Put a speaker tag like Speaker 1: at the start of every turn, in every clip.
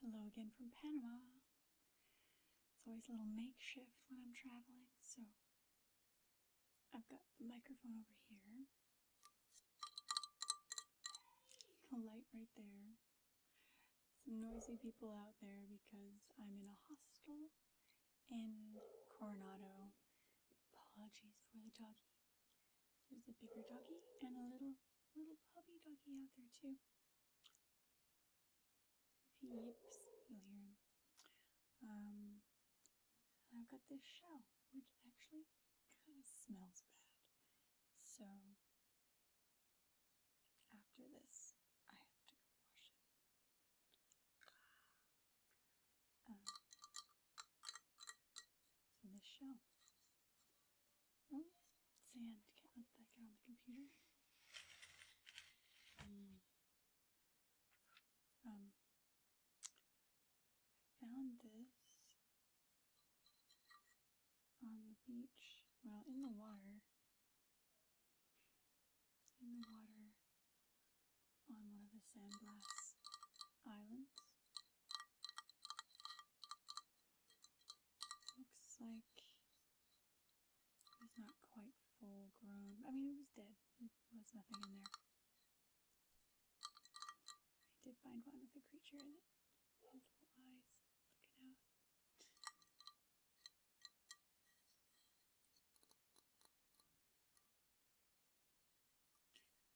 Speaker 1: Hello again from Panama. It's always a little makeshift when I'm traveling, so I've got the microphone over here, the light right there. Some noisy people out there because I'm in a hostel in Coronado. Apologies for the doggy. There's a bigger doggy and a little little puppy doggy out there too. If he yips, you'll hear him. Um, I've got this shell, which actually kind of smells bad. So after this, I have to go wash it. Uh, so this shell. Oh, sand. Can't let that get on the computer. Hmm. Um, found this on the beach. Well, in the water. In the water on one of the San Blas islands. Looks like it not quite full grown. I mean, it was dead. There was nothing in there. I did find one with a creature in it. Multiple eyes looking out.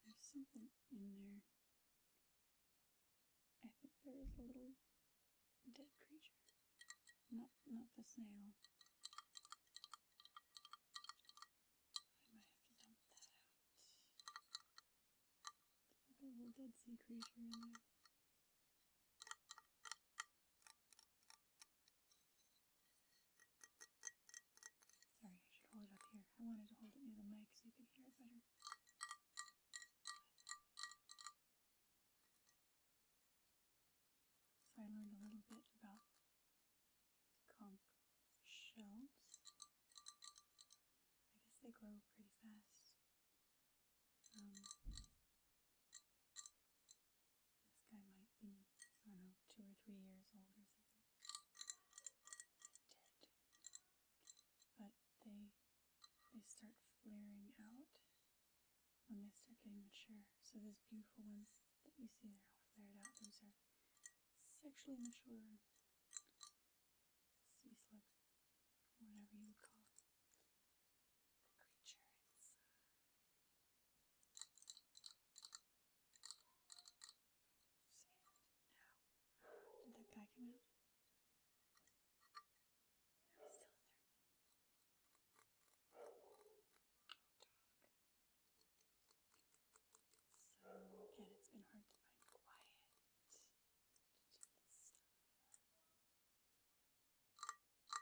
Speaker 1: There's something in there. I think there is a little dead creature. Not, not the snail. I might have to dump that out. a little dead sea creature in there. Sorry, I should hold it up here. I wanted to hold it near the mic so you could hear it better. So I learned a little bit about conch shells. I guess they grow pretty fast. Um, this guy might be, I don't know, two or three years old or something. But they they start flaring out when they start getting mature. So those beautiful ones that you see there all flared out, those are sexually mature sea slugs, whatever you would call the creature now, did that guy come out? still there. Oh, so again, it's been hard to find quiet to do this stuff.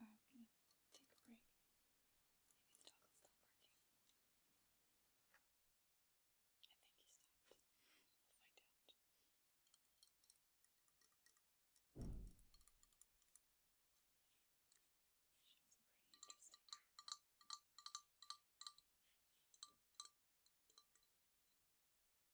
Speaker 1: I'm gonna take a break. Maybe the dog will stop I think he stopped. We'll find out. Shells are pretty interesting.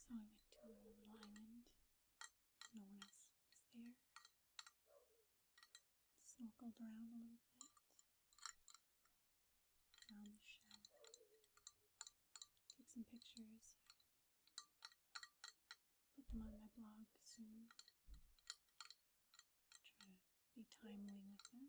Speaker 1: so I went to a little island. No one else was there. Circled around a little bit. Found the shell. Took some pictures. put them on my blog soon. Try to be timely with that.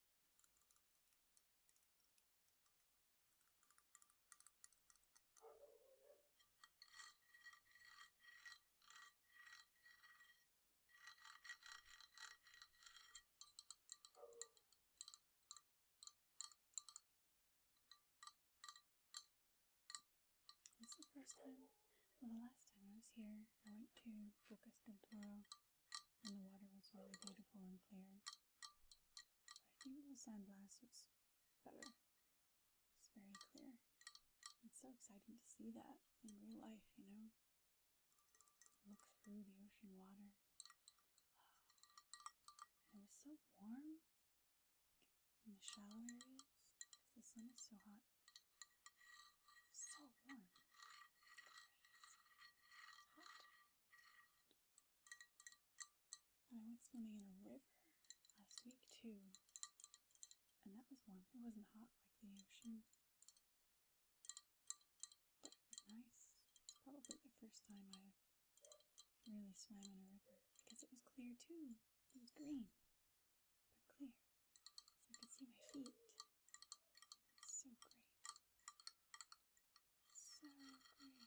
Speaker 1: This is the first time, or the last time I was here, I went to Bocas del Toro and the water was really beautiful and clear. But I think the sandblast was better. It's very clear. It's so exciting to see that in real life, you know? Look through the ocean water. And it's so warm in the shallow areas because the sun is so hot so warm. hot. I went swimming in a river last week too. And that was warm. It wasn't hot like the ocean. But it was nice. It's probably the first time I've really swam in a river because it was clear too. It was green, but clear. So I could see my feet. So great. So great.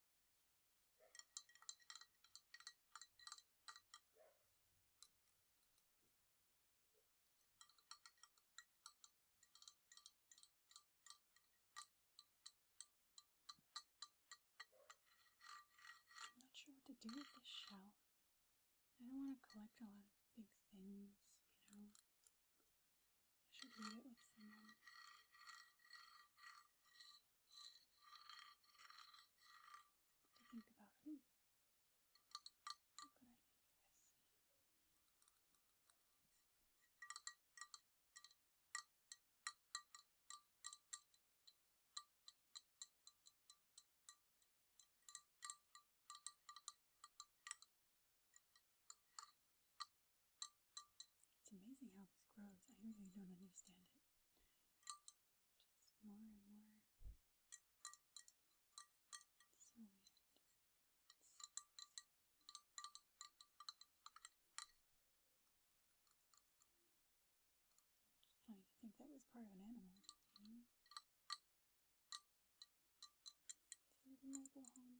Speaker 1: I'm not sure what to do with this shell. I don't want to collect a lot of big things, you know. I should leave it with someone to think about who, who could I leave it with? It's amazing how this grows. I really don't understand it. Just more and more. so weird. funny to think that was part of an animal, you we go home.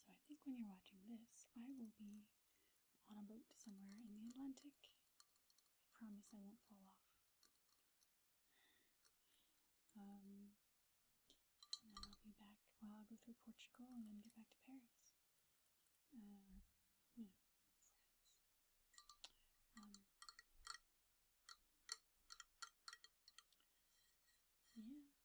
Speaker 1: So I think when you're watching this, I will be on a boat somewhere in the Atlantic. I promise I won't fall off. Um, and then I'll be back. Well, I'll go through Portugal and then get back to Paris. Uh, um, yeah,